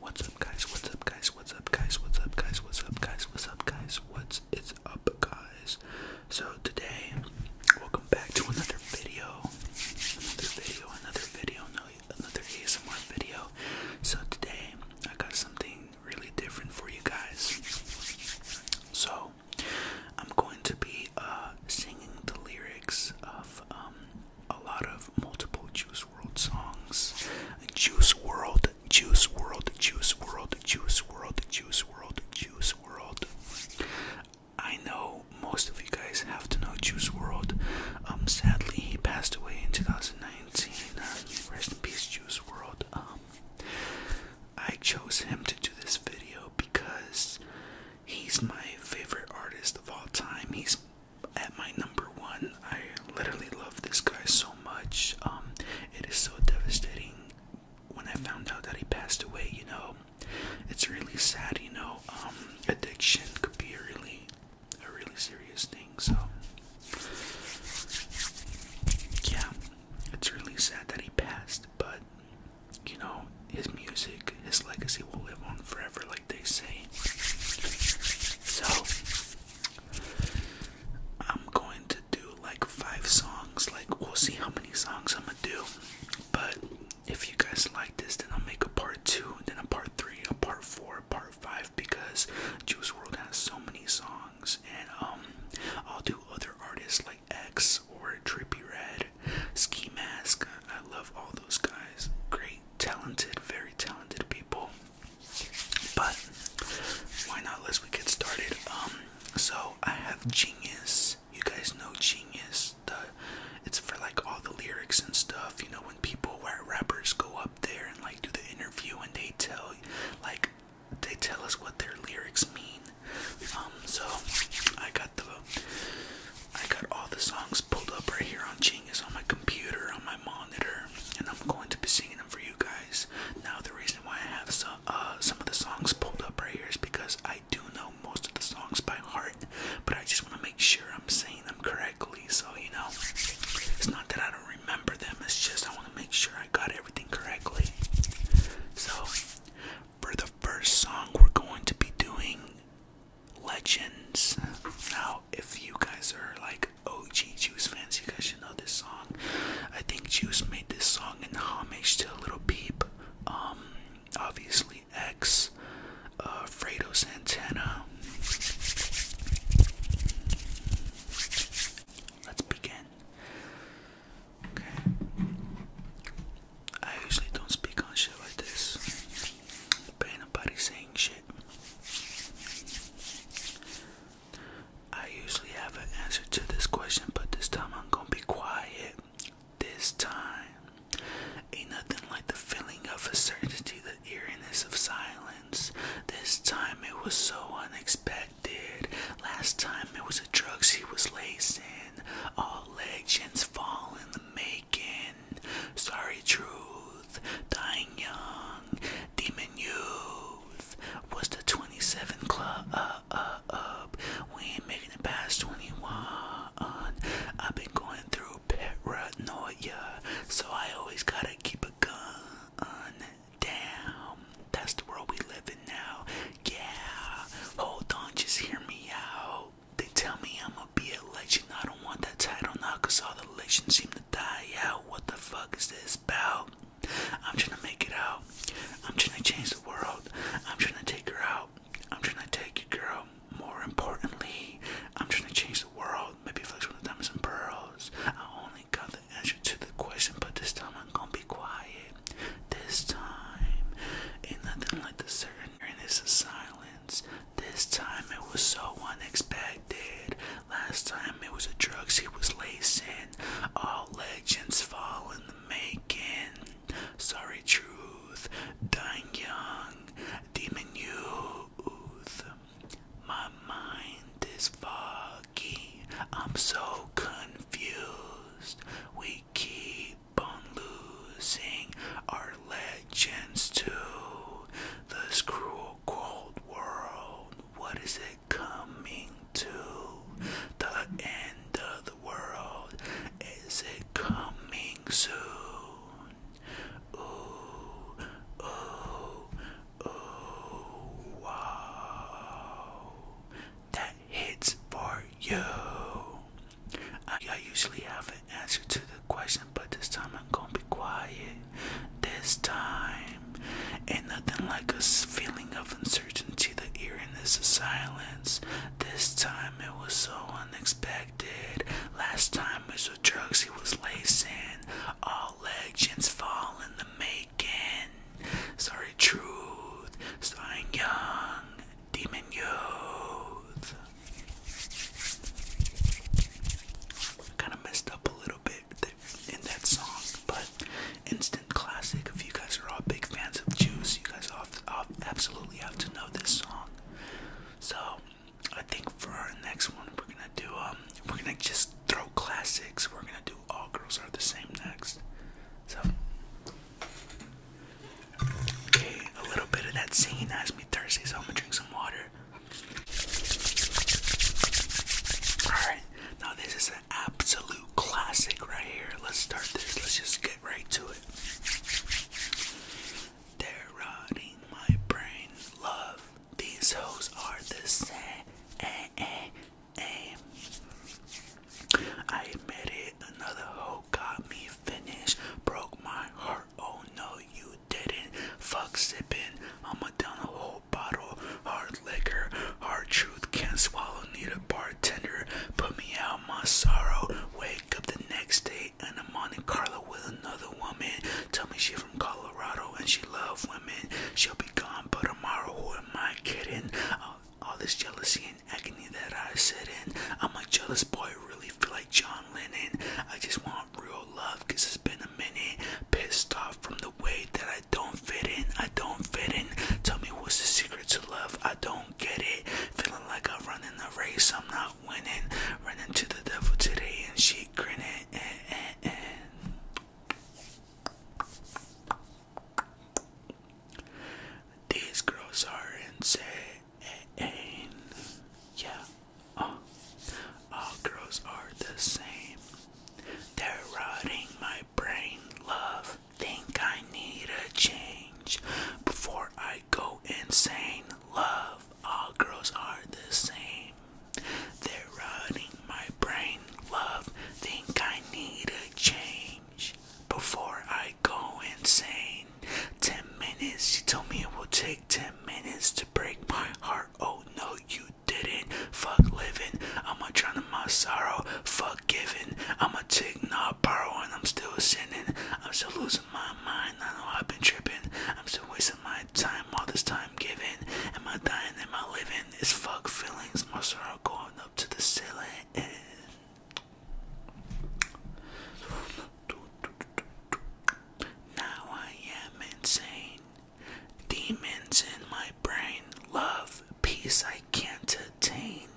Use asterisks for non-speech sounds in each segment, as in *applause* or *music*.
What's up, guys? What's up, guys? What's up, guys? What's up, guys? What's up, guys? What's up, guys? What's it's up, guys? So today, welcome back to another video, another video, another video, another ASMR video. So today, I got something really different for you guys. So channel, I'm going to be uh, singing the lyrics of um, a lot of multiple Juice World songs. Juice World, Juice World, Juice World, Juice World, Juice World, Juice World. I know most of you guys have to know Juice World. Um, sadly, he passed away in 2019. Uh, rest in peace, Juice World. Um, I chose him to do this video because he's my favorite artist of all time. He's at my number one. I literally love this guy so much. Um, it is so devastating when I found out that he passed away, you know. It's really sad, you know. Um, addiction could be a really a really serious thing, so yeah, it's really sad that he passed, but you know, his music, his legacy will live on forever, like they say. So, I'm going to do like five songs. Like, we'll see how many songs I'm gonna do. But if you guys like this, then I'll make a part two, then a part three, a part four, a part five, because Juice World has so many songs, and um, I'll do other artists like. X or Trippy Red, Ski Mask. I love all those guys. Great, talented, very talented people. But why not? Let's we get started. Um, so I have Genius. You guys know Genius. The it's for like all the lyrics and stuff. You know when people, where rappers go up there and like do the interview and they tell like they tell us what their lyrics mean. Um, so I got the I got all the songs pulled up right here on Genius on my computer on my monitor, and I'm going to be singing them for you guys. Now the reason why I have some uh, some of the songs pulled up right here is because I do know most of the songs by heart, but I just want to make sure I'm saying them correctly. So you know, it's not that I don't remember them. It's just I want to make sure I got everything correctly. So for the first song we're going to be doing legends now if you guys are like og juice fans you guys should know this song i think juice made this song in homage to a little peep um obviously x uh fredo santana let's begin Okay. I usually don't speak on shit like this. But ain't nobody saying shit. I usually have an answer to this question, but this time I'm gonna be quiet. This time. Ain't nothing like the feeling of uncertainty, the eeriness of silence. This time it was so unexpected did. Last time it was the drugs he was lacing. All legends fall in the making. Sorry, truth. Dying young. Demon youth. Was the 27 club up? up, up. We ain't making it past 21. I've been going through paranoia, so I always gotta keep a gun. on down. That's the world we live in now. Yeah, hold on, just hear me out. They tell me I'ma be a legend. I don't want that title now, cause all the legends seem to die out. What the fuck is this about? I'm trying to make it out. I'm trying to change the world. I'm trying to take her out. I'm trying to take you, girl. More importantly, I'm trying to change the world. Maybe flex with the diamonds and pearls. I only got answer to the question, but this time I'm gonna be quiet. This time, ain't nothing like the certain of silence. This time it was so unexpected. Last time it was the drugs he was lacing. All legends fall in the making. Sorry, truth. Dying young. Demon youth. My mind is fog. I'm so confused. We keep on losing our legends to this cruel cold world. What is it coming to? The end of the world. Is it coming soon? Ooh, ooh, ooh, wow hits for you. I, usually have an answer to the question, but this time I'm gonna be quiet. This time, ain't nothing like a feeling of uncertainty, the eeriness of silence. This time it was so unexpected. Last time it was drugs he was lacing. All legends fall in the maze. Sorry Truth, Starring Young, Demon Youth. Kind of messed up a little bit in that song, but instant classic. If you guys are all big fans of Juice, you guys absolutely have to know this song. So I think for our next one, we're gonna do um, we're gonna just Throw classics. We're gonna do all girls are the same next. So, okay, a little bit of that singing has me thirsty, so I'm gonna drink some water. Alright, now this is an absolute classic right here. Let's start this. Let's just get right to it. They're rotting my brain. Love. These hoes are the same. I admit it, another hoe got me finished. Broke my heart, oh no, you didn't. Fuck sipping, I'ma down a whole bottle. Hard liquor, hard truth, can't swallow, need a bartender. Put me out my sorrow, wake up the next day and in a Monte Carlo with another woman. Tell me she from Colorado and she love women. She'll be gone, but who am I kidding? Uh, all this jealousy and agony that I sit in. I'm a jealous boy, really feel like John Lennon. I just want real love, cause it's been a minute. Pissed off from the way that I don't fit in. I don't fit in. Tell me what's the secret to love? I don't get it. Feeling like I'm running a race, I'm not winning. Running to the devil today, and she grinned. Eh, eh, eh. These girls are insane. Yeah, uh, all girls are the same. They're rotting my brain, love. Think I need a change before I go insane, love. All girls are the same. They're running my brain. Love, think I need a change before I go insane. Ten minutes, she told me it will take ten minutes to break my heart. Oh no, you didn't. Fuck living, I'ma drown in my sorrow. Fuck giving, I'ma take not borrow, I'm still sinning. I'm still losing my mind. I know I've been tripping. I'm still wasting my time all this time giving. Am I dying? Am I living? and fuck feelings must are going up to the ceiling now I am insane. Demons in my brain, love, peace I can't attain.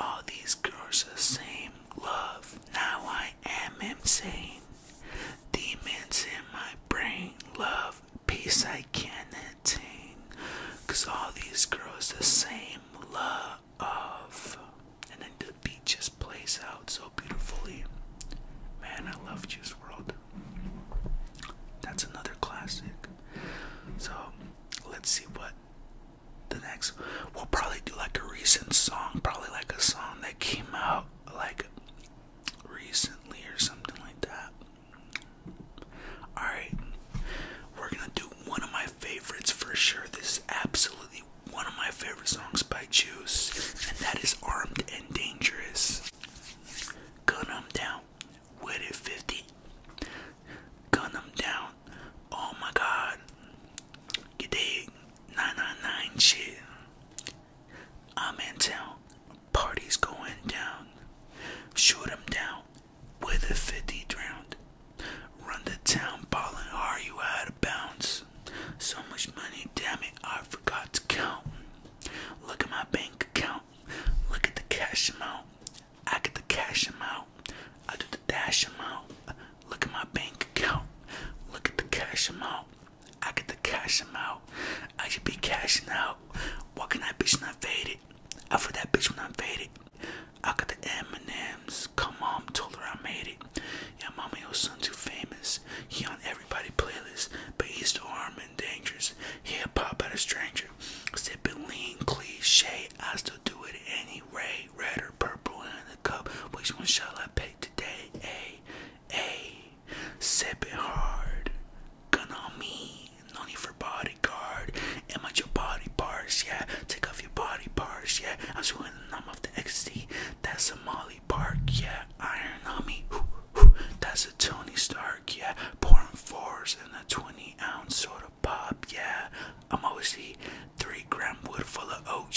all these girls the same. Love, now I am insane. Demons in my brain, love, peace I can't attain. Cause all these girls the same love. of, And then the beat just plays out so beautifully. Man, I love Juice World. That's another classic. So let's see what the next we'll probably do like a recent song, probably like a song that came out like recently or something like that. Alright, we're gonna do one of my favorites for sure. This is absolutely one of my favorite songs by Juice, and that is Armed and Dangerous. Gun 'em down with it 50. Gun 'em down. Oh my god. You dig? 999 shit. I'm in town. Party's going down. Shoot 'em down with a 50 round. Run the town, ballin' are you out of bounds? So much money, damn it, I forgot to count. Look at my bank account. Look at the cash amount. I get the cash amount. I do the dash amount. Look at my bank account. Look at the cash amount. I get to cash out. I should be cashing out. Walking that bitch when I'm faded. After that bitch when I'm faded. I got the M&M's. Come on, told her I made it. Yeah, mommy, your son too famous. He on everybody playlist, but he's still armed and dangerous. He'll pop at a stranger. Sipping lean cliche, I still do it anyway. Red or purple in the cup, which one shall I pay today? A, A. Sip it hard. Gun on me. No need for bodyguard. Am I your body parts? Yeah. Take off your body parts. Yeah. I'm swinging numb off the ecstasy. That's a Molly Park. Yeah. Iron on me. That's a Tony Stark. Yeah. Pouring fours in a 20 ounce soda pop. Yeah. I'm always see three gram wood full of OG.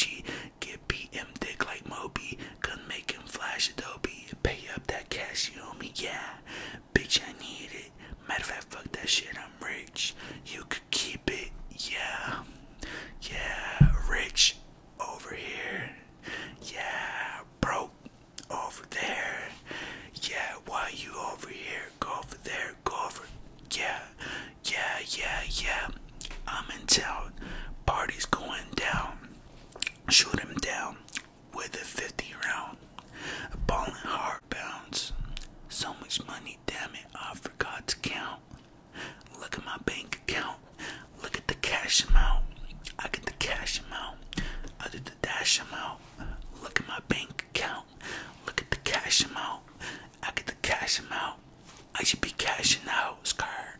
Get BM dick like Moby. Gonna make him flash Adobe pay up that cash you owe me, yeah. Bitch, I need it. Matter of fact, fuck that shit, I'm rich. You could keep it, yeah. Yeah, rich over here. Yeah, broke over there. Yeah, why you over here? Go over there, go over. Yeah, yeah, yeah, yeah. I'm in town. Party's going down. Shoot him down with a 50 round. A ballin' hard bounce. So much money, damn it, I forgot to count. Look at my bank account. Look at the cash amount. I get the cash amount. I did the dash amount. Look at my bank account. Look at the cash amount. I get the cash amount. I should be cashing out, Scar.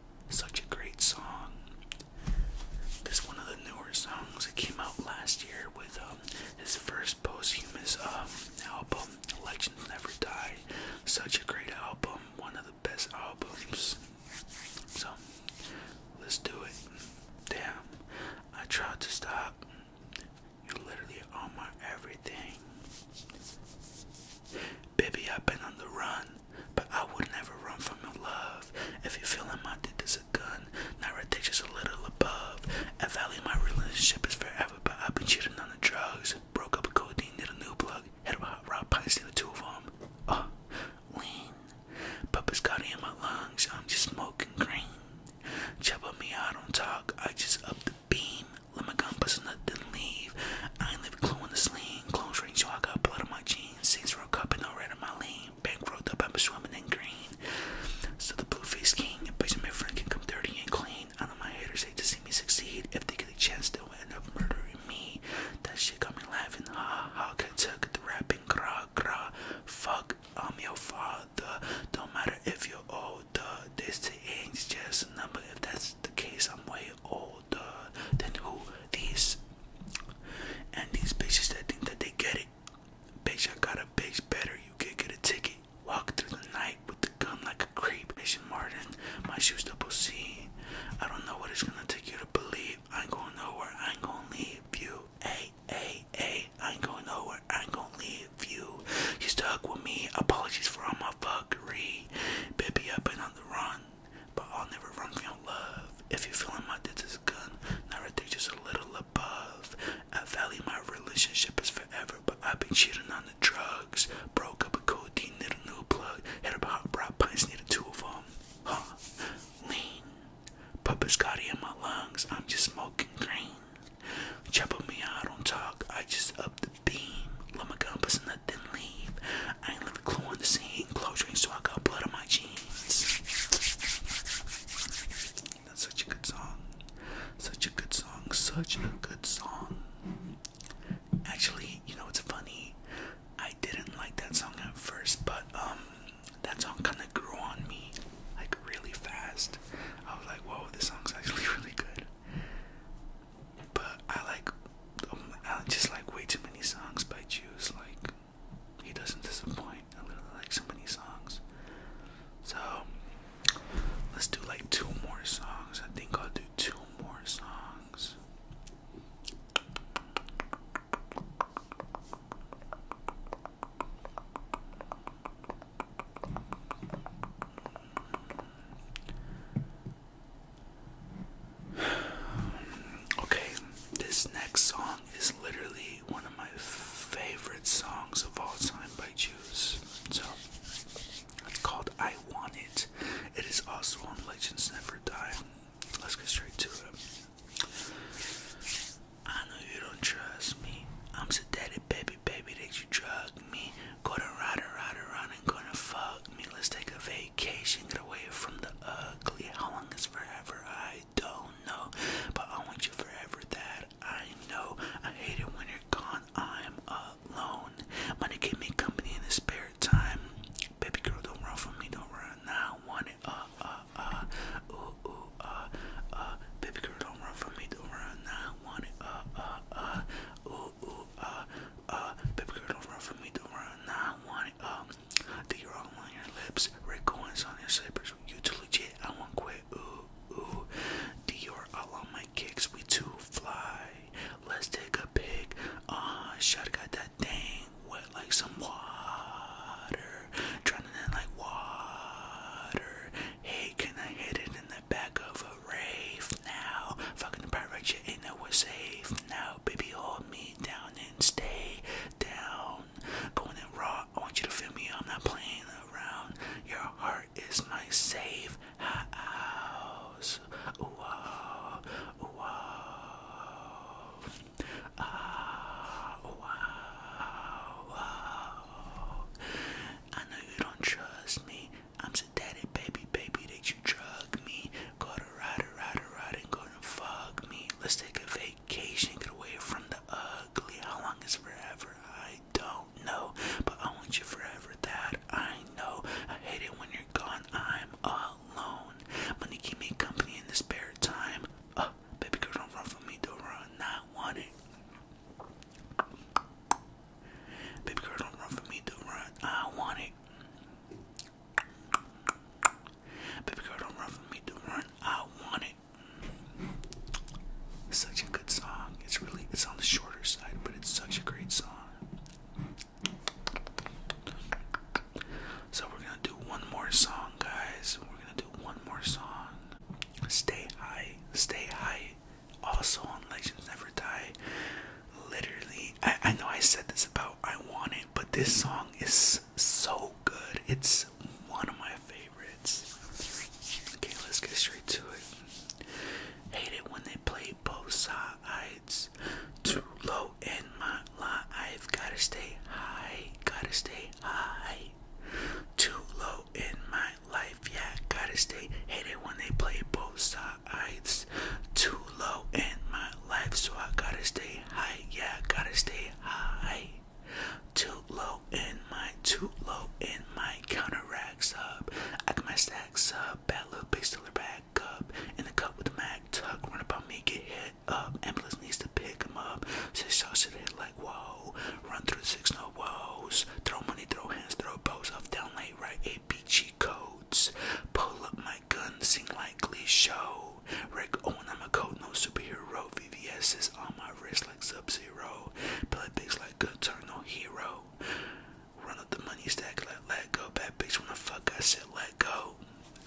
Such a great song. This is one of the newer songs that came out last year with um, his first posthumous um, album, Legends Never Die. Such a great album, one of the best albums. So, let's do it. Damn, I tried to stop. You're literally on my everything. Baby, I've been on the run, but I would never run from your love. If you feeling my dick is a gun, not ridiculous, just a little above. I value my relationship is forever, but I've been cheating on the drugs. Broke up with codeine, did a new plug. Had a hot rod pints, did the two of them. Oh, uh, lean. Puppets got in my lungs, I'm just smoking green. Chop on me, I don't talk, I just up the beam. Let my gun bust nothing leave. I ain't leave a clue in the sleeve lean. Close range, so I got blood on my jeans. Saints were cup and no red on my lane. Bankrolled up, I'm swimming in green. So the blue faced king, bitch, my friend can come dirty and clean. I know my haters hate to see me succeed. If they get a chance, they'll end up murdering me. That shit got me laughing. Ha ha, I took the rapping. Gra gra, fuck, I'm your father. Don't matter if you're older. This ain't just a number. If that's the case, I'm way older old who these and these bitches that think that they get it. Bitch, I got a bitch better. You can get a ticket. Walk through the night with the gun like a creep. Asian Martin, my shoes double C. I don't know what it's gonna take you to believe. I ain't going nowhere. I ain't gonna leave you. Hey, hey, hey. I ain't going nowhere. I ain't gonna leave you. You stuck with me. Apologies for all my fuckery. Baby, I've been on the run but I'll never run from your love. If you're feeling my is good, not ridiculous, just a little above. I value my relationship is forever, but I've been cheating on the drugs. Broke up a codeine, need a new plug. Hit up a hot brow pints, need a two of them. Huh? Lean. Put biscotti in my lungs, I'm just smoking green. Chop me, I don't talk, I just up the beam. Let my gun, let them leave. I ain't leave a clue on the scene. Clothes drained, so I got blood on my jeans. That's such a good song. Such a good song. Such a good song. Actually, you know what's funny? I didn't like that song at first, but um, that song kind of grew on me like really fast. I was like, whoa, this song's actually *laughs* really good. But I like, um, I just like way too many songs by Juice. Like, he doesn't disappoint. I really like so many songs. So, let's do like two more songs. I think I'll do two more songs. *sighs* Okay, this next song is literally one of my favorite songs of all time by Juice. So it's called I Want It. It is also on Legends Never Die. Let's get straight to it. I know you don't trust me. I'm sedated, baby, baby, that you drug me. Gonna ride ride, around, and gonna fuck me. Let's take a vape vacation, get away from the ugly. How long is forever? I don't know, but I want you forever. That I know. I hate it when you're gone. I'm alone. Money gave me company in the spare time. Baby girl, don't run from me. Don't run. Now I want it. Uh uh uh. Ooh ooh uh uh. Baby girl, don't run from me. Don't run. Now I want it. Uh uh uh. Ooh ooh uh, uh, baby girl, don't run from me, don't run. Nah, I want Um, the on your lips, red coins on your slippers. You too legit, I won't quit. Ooh, ooh. Dior all on my kicks, we too fly. Let's take a pic. Uh, shot got that thing wet like some water. Drowning in like water. Hey, can I hit it in the back of rave now. Fucking pirate, you ain't nowhere safe now. Baby, hold me down and stay down. Going raw, I want you to feel me. I'm not playing around. Your heart is my safe house. Ooh, wow, oh, ooh, wow. Oh. Ah, wow, oh, I know you don't trust me. I'm sedated, baby, baby, that you drug me. Go to ride, ride, ride, and go to fuck me. Let's take a vacation, get away from the ugly. How long is forever? I don't know, but I want you forever. That I know. I hate it when you're gone. I'm alone. Gonna keep me company in this spare time. Uh, baby girl, don't run for me. Don't run. Not want it. Baby girl, don't run from me, don't run. I want it right. Baby girl, don't run for me, do run. I want it. Such a good song. It's really it's on the shorter side, but it's such a great song. So we're gonna do one more song, guys. We're gonna do one more song. Stay high, stay high, also on Legends Never Die. Literally, I, I know I said this about I Want It, but this song is so good. It's one of my favorites. Okay, let's get straight to it. Hate it when they play both sides. Too low in my life. I've gotta stay high. Gotta stay high. Too low in my life. Yeah, gotta stay. Hate it when they play both sides it's too low in my life, so I gotta stay high. Yeah, gotta stay high. Too low in my, too low in my counter counteracts up. I got my stacks up, bad little big stiller back up. In the cup with the Mac. tuck, run about me, get hit up. Ambulance needs to pick him up. Six shots should hit like whoa. Run through the six no woes. Throw money, throw hands, throw bows off down late, right? a A B G code. Pull up my gun, sing like Glee show. Rick oh Owen, I'm a code, no superhero. VVS on my wrist like Sub Zero. Play bigs like good turn, no hero. Run up the money stack, like let go. Bad bitch, when the fuck I said let go.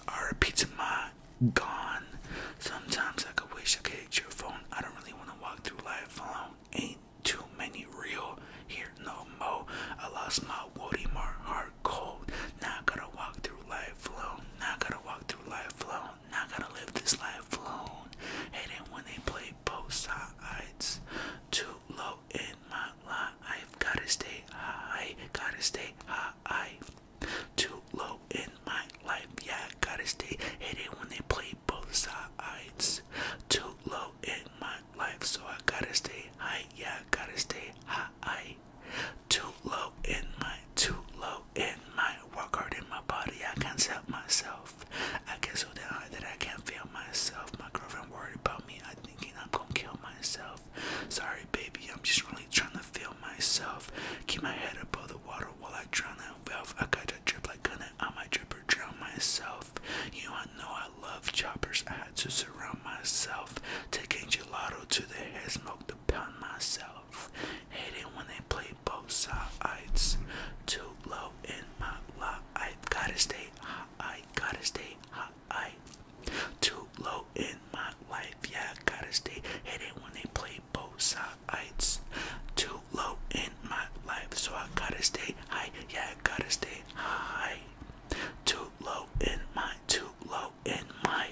RP pizza my gone. Sometimes I could wish I could hit your phone. I don't really want to walk through life alone. Ain't too many real here no mo. I lost my woody mark heart cold. Now I gotta walk through life alone. Now I gotta walk through life alone. Now I gotta live this life alone. Hating when they play both sides. Too low in my life. I Gotta stay high. Gotta stay high. Too low in my life. Yeah, I gotta stay. Hating when they play both sides. Too low in my life, so I gotta stay high. Yeah, gotta stay high. Too low in my, too low in my. Work hard in my body, I can't help myself. I get so down that I can't feel myself. My girlfriend worried about me. I am thinking I'm gonna kill myself. Sorry, baby, I'm just really trying to feel myself. Keep my head above the water while I drown that valve. I got to drip like going I might drip or drown myself. You know I know I love choppers. I had to surround myself. Taking gelato to the head, smoke to pound myself. Hate when they play both sides. Too low in my lot. I gotta stay hot. I gotta stay hot. too low in my life. Yeah, gotta stay. Hate when they play both sides. Too low in my life, so I gotta stay high. Yeah, gotta stay high. Too low in my, too low in my.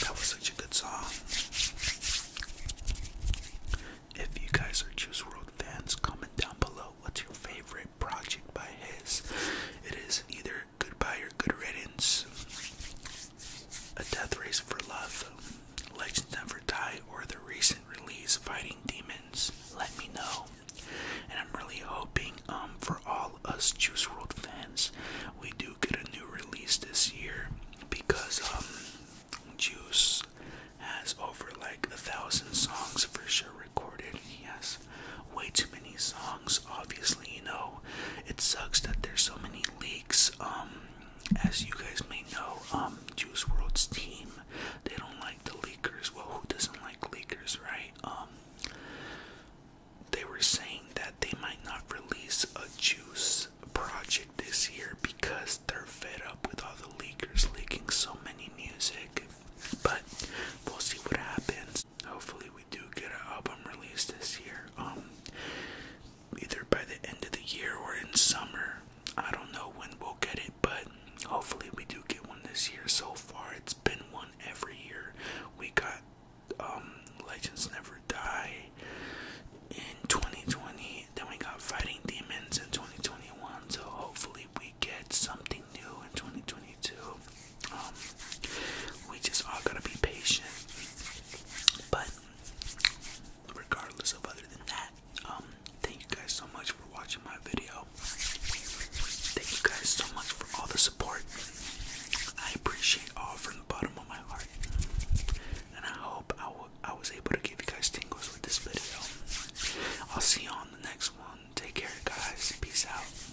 That was such a good song. If you guys are Juice World fans, comment down below what's your favorite project by his. It is either Goodbye or Good Riddance, A Death Race for Love, Legends Never Die, or the recent release Fighting Demons, let me know. And I'm really hoping um, for all us Juice World fans, we do get a new release this year because um, Juice has over like a thousand songs for sure recorded. He has way too many songs, obviously. You know, it sucks that there's so many leaks. Um, as you guys may know, um, Juice World's team, they don't like the leakers. Well, who doesn't like leakers, right? Um, they were saying that they might not release a Juice project this year because they're fed up with all the leakers leaking so many music. But we'll see what happens. Hopefully, we do get an album release this year. Um, either by the end of the year or in summer. I don't know when we'll get it, but hopefully we do get one this year. So far, it's been one every year. We got um, Legends Never Die in 2020, then we got Fighting Demons in 2021. So hopefully we get something new in 2022. Um, we just all gotta be patient. But regardless of other than that um thank you guys so much for watching my video thank you guys so much for all the support i appreciate all from the bottom of my heart and i hope i, I was able to give you guys tingles with this video i'll see you on the next one take care guys peace out